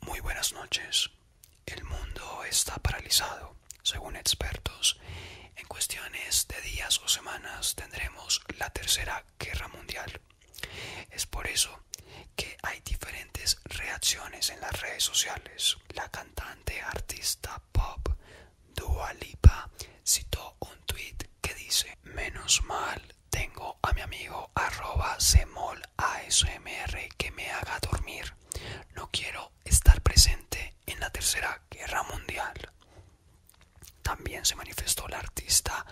Muy buenas noches. El mundo está paralizado. Según expertos, en cuestiones de días o semanas tendremos la tercera guerra mundial. Es por eso que hay diferentes reacciones en las redes sociales. La cantante artista pop Dua Lipa citó un tweet que dice: Menos mal tengo a mi amigo arroba semol ASMR que me haga dormir. No quiero estar presente en la tercera guerra mundial. También se manifestó la artista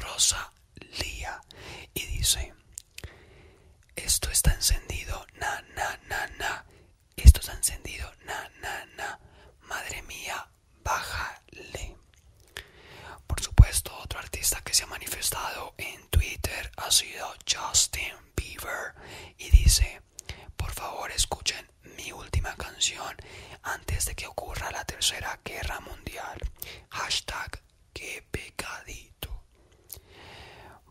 Rosa lia y dice Esto está encendido, na na na na. Esto está encendido, na na na. Madre mía, bájale. Por supuesto, otro artista que se ha manifestado en Twitter ha sido Justin Bieber y dice, por favor escuchen mi última canción antes de que ocurra la tercera guerra mundial. Hashtag que pecadito.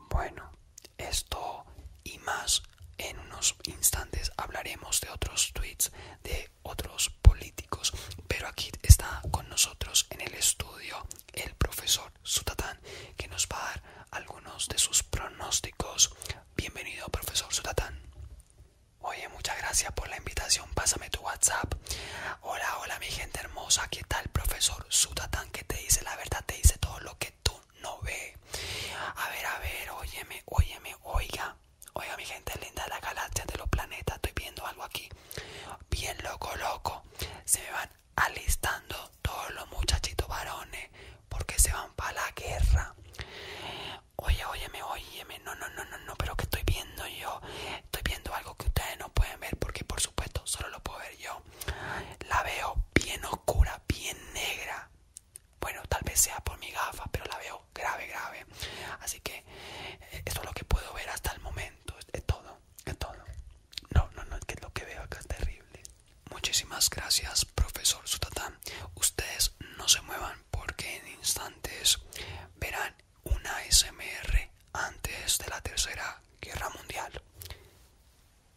Bueno, esto y más en unos instantes hablaremos de otros tweets de otros políticos. Pero aquí está con nosotros en el estudio el profesor Sutatán, que nos va a dar algunos de sus pronósticos. Bienvenido, profesor Sutatán. Oye, muchas gracias por la invitación. Pásame tu WhatsApp. Hola, hola, mi gente hermosa. ¿Qué tal, profesor Sutatán? Que te dice la verdad, te dice todo lo que tú no ves. A ver, a ver, óyeme, óyeme, oiga. Oiga, mi gente linda de la galaxia, de los planetas. Estoy viendo algo aquí. Bien loco, loco. Se me van alistando todos los muchachitos varones porque se van para la guerra. Oye, óyeme, oye. no, no, no, no, no, pero que estoy viendo yo. Estoy viendo algo que ustedes no pueden ver porque por supuesto solo lo puedo ver yo. La veo bien oscura, bien negra. Bueno, tal vez sea por mi gafa, pero la veo grave, grave. Así que eh, eso es lo que puedo ver hasta el momento. Es todo, es todo. No, no, no, es que lo que veo acá es terrible. Muchísimas gracias, profesor Sutatán. Ustedes no se muevan porque en instantes verán una SMR antes de la Tercera Guerra Mundial.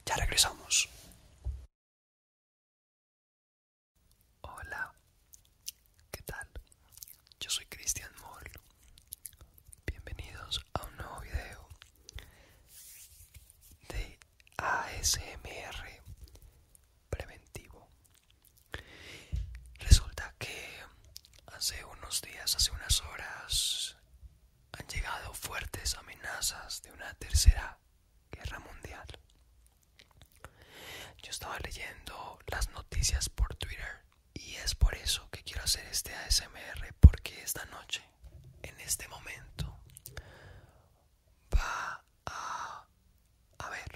Ya regresamos. Hola, ¿Qué tal? Yo soy Cristian Moll. Bienvenidos a un nuevo video de ASMR preventivo. Resulta que hace unos días, hace unas horas, han llegado fuertes amenazas de una tercera guerra mundial. Yo estaba leyendo las noticias por Twitter y es por eso que quiero hacer este ASMR, porque esta noche, en este momento, va a haber,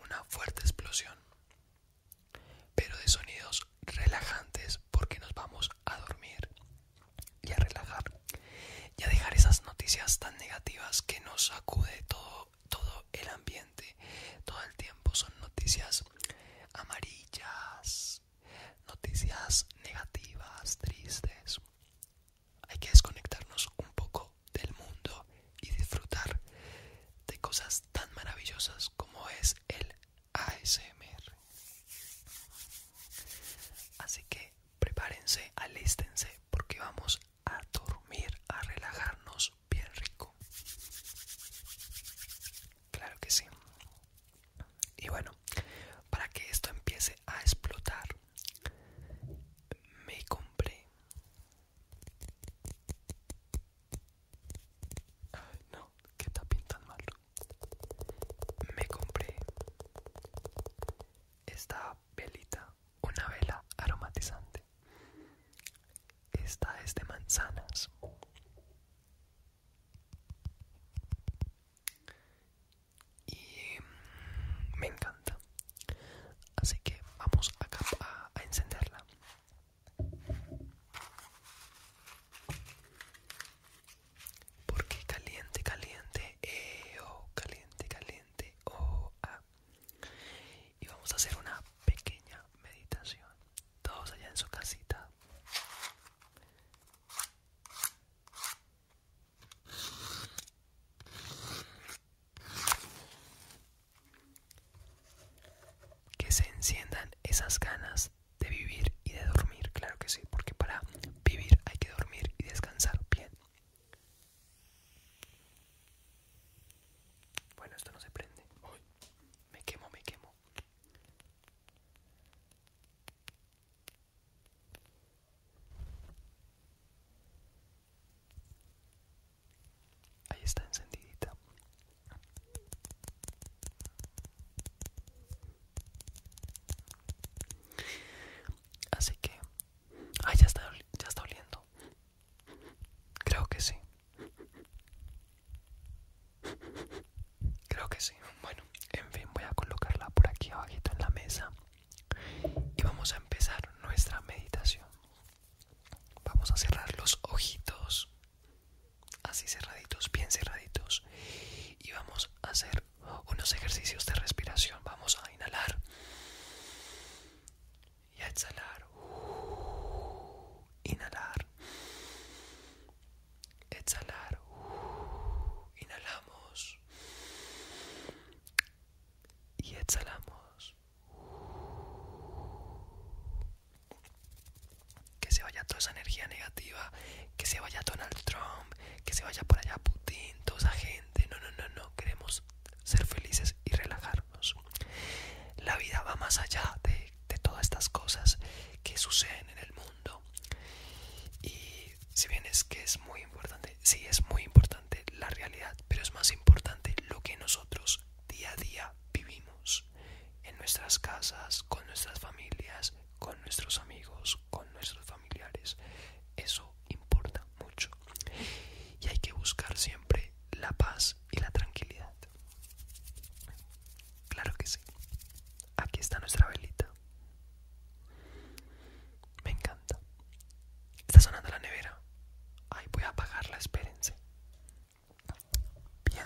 una fuerte explosión, pero de sonidos relajantes, porque nos vamos a dormir y a relajar y a dejar esas noticias tan negativas que nos sacude todo todo, el ambiente, todo el tiempo son noticias amarillas, noticias negativas, tristes. Hay que desconectarnos un poco del mundo y disfrutar de cosas tan maravillosas como es el ASMR. Así que prepárense, alístense porque vamos a dormir, a relajarnos bien rico claro que sí y bueno para que esto empiece a explotar me compré no que está pintando mal me compré esta velita una vela aromatizante esta es de manzanas. Y mm, me encanta. Así que vamos acá a, encenderla. Porque caliente, caliente, eh, oh, caliente, caliente, oh, ah y vamos a hacer una pequeña meditación. Todos allá en su casita. Que se enciendan esas ganas de vivir y de dormir, claro que sí, porque para vivir hay que dormir y descansar bien. Bueno, esto no se prende. me quemo, me quemo. Ahí está encendidita. Así que, ay, ah, ya está, ya está oliendo creo. que sí. Creo que sí. Bueno, en fin, voy a colocarla por aquí abajito en la mesa y vamos a empezar nuestra meditación. Vamos a cerrar los ojitos, así cerraditos, bien cerraditos, y vamos a hacer unos ejercicios de respiración. Vamos a inhalar y a exhalar. Uh, inhalar. Exhalar. Uh, inhalamos. Y exhalamos. Que se vaya toda esa energía negativa, que se vaya Donald Trump, que se vaya por allá Putin, toda esa gente. No, no, no, no. Queremos ser felices y relajarnos. La vida va más allá de, de todas estas cosas que suceden en el mundo. Y si bien es que es muy importante, sí es muy importante la realidad, pero es más importante lo que nosotros día a día vivimos en nuestras casas, con nuestras familias, con nuestros amigos, con nuestros familiares. Eso importa mucho y hay que buscar siempre la paz y la tranquilidad. Claro que sí. Aquí está nuestra velita. Me encanta. Está sonando la nevera. Ahí voy a apagarla, espérense. Bien.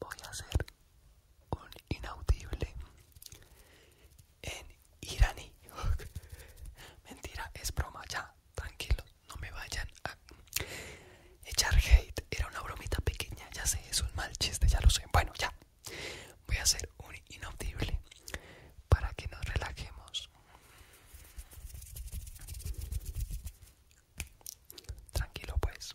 Voy a hacer un inaudible en iraní. Mentira, es broma, ya, tranquilo no me vayan a echar hate. Era una bromita pequeña, ya sé, es un mal chiste, ya lo sé. Bueno, ya. Voy a hacer un inaudible para que nos relajemos. Tranquilo, pues.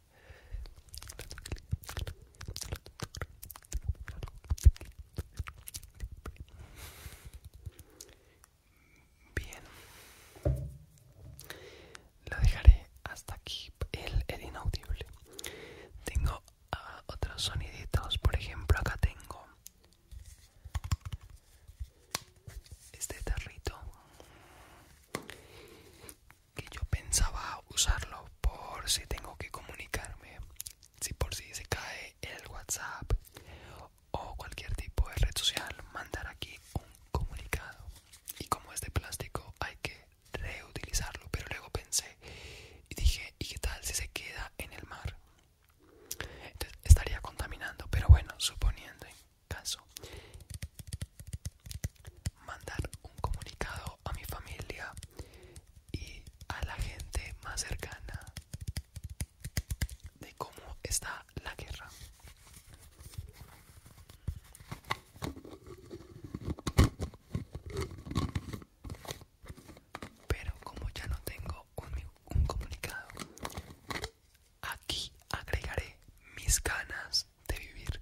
Bien, lo dejaré hasta aquí el, inaudible. Tengo ah, otros soniditos, por ejemplo, acá tengo este tarrito que yo pensaba usarlo por si tengo que comunicarme, si por si se cae el WhatsApp o cualquier tipo de red social, mandar aquí un comunicado. Y como es de plástico, hay que reutilizarlo. Pero luego pensé y dije, ¿y qué tal si se queda en el mar? Entonces estaría contaminando, pero bueno, suponiendo en caso mandar un comunicado a mi familia y a la gente más cercana de cómo está la guerra. Pero como ya no tengo un, comunicado, aquí agregaré mis ganas de vivir.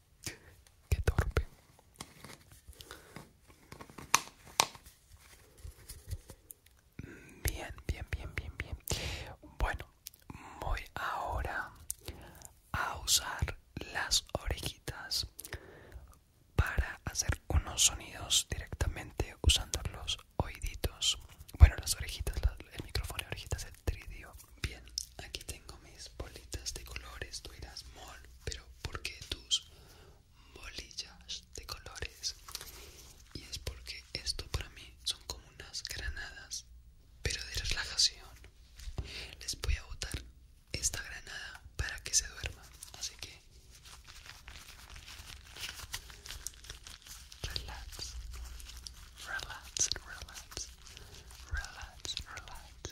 Qué torpe. Bien, bien, bien, bien, bien. Bueno, voy ahora a usar las orejitas para hacer unos sonidos directamente usando los oíditos. Bueno, las orejitas, el micrófono de orejitas, el tridio. Bien, aquí tengo mis bolitas de colores, tú mol, pero ¿por qué tú bolillas de colores y es porque esto para mí son como unas granadas pero de relajación les voy a botar esta granada para que se duerman así que relax relax relax relax relax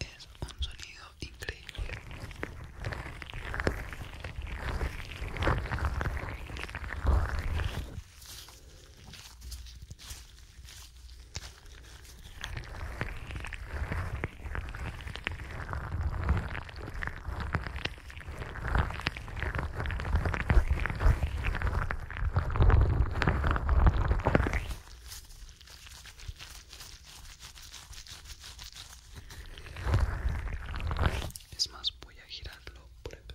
es un sonido increíble es más, voy a girarlo por acá.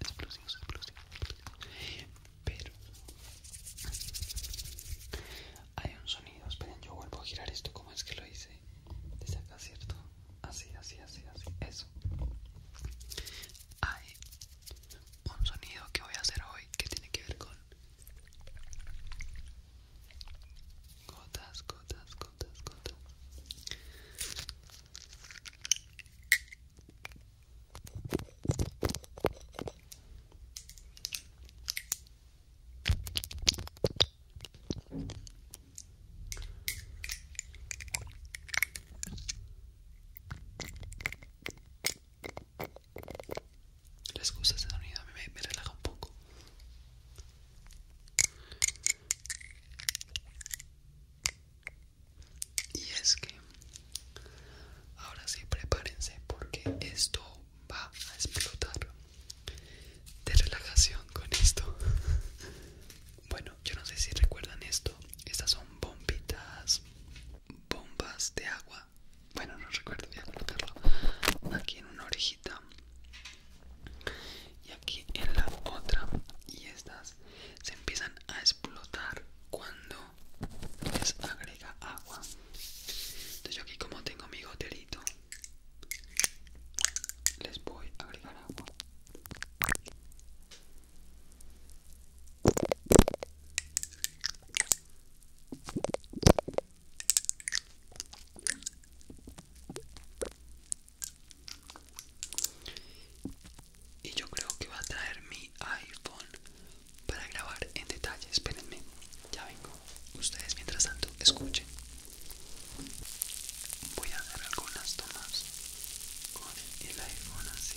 explosivos, explosivos, pero hay un sonido, esperen, yo vuelvo a girar esto, como es que lo hice? Desde acá, ¿cierto? Así, así, así, así, eso Hay un sonido que voy a hacer hoy que tiene que ver con gotas, gotas, gotas, gotas les gusta este sonido, a mí me relaja un poco. Y es que ahora sí prepárense porque esto va a explotar de relajación con esto. bueno, yo no sé si recuerdan esto. Estas son bombitas, bombas de agua. Bueno, no recuerdo, voy a colocarlo aquí en una orejita y aquí en la otra. Y estas se empiezan a explotar cuando les agrega agua entonces yo aquí como tengo mi goterito les voy a agregar agua y yo creo que va a traer mi iPhone para grabar en detalle. Espérenme, ya vengo. Ustedes mientras tanto escuchen. Voy a hacer algunas tomas con el iPhone así.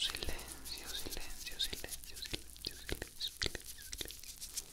Silencio, silencio, silencio, silencio, silencio, silencio, silencio.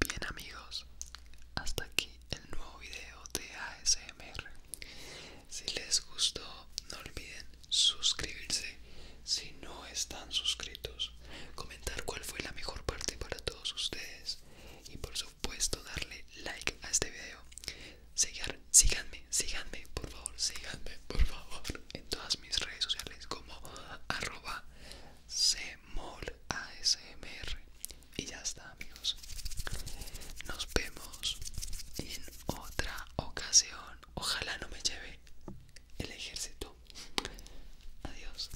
Bien amigos, hasta aquí el nuevo video de ASMR. Si les gustó, no olviden suscribirse si no están suscritos, comentar cuál fue la mejor parte para todos ustedes y por supuesto darle like a este video síganme, síganme, por favor, síganme, por favor, en todas mis redes sociales como arroba cmolasmr. Y ya está, amigos. Nos vemos en otra ocasión. Ojalá no me lleve el ejército. Adiós.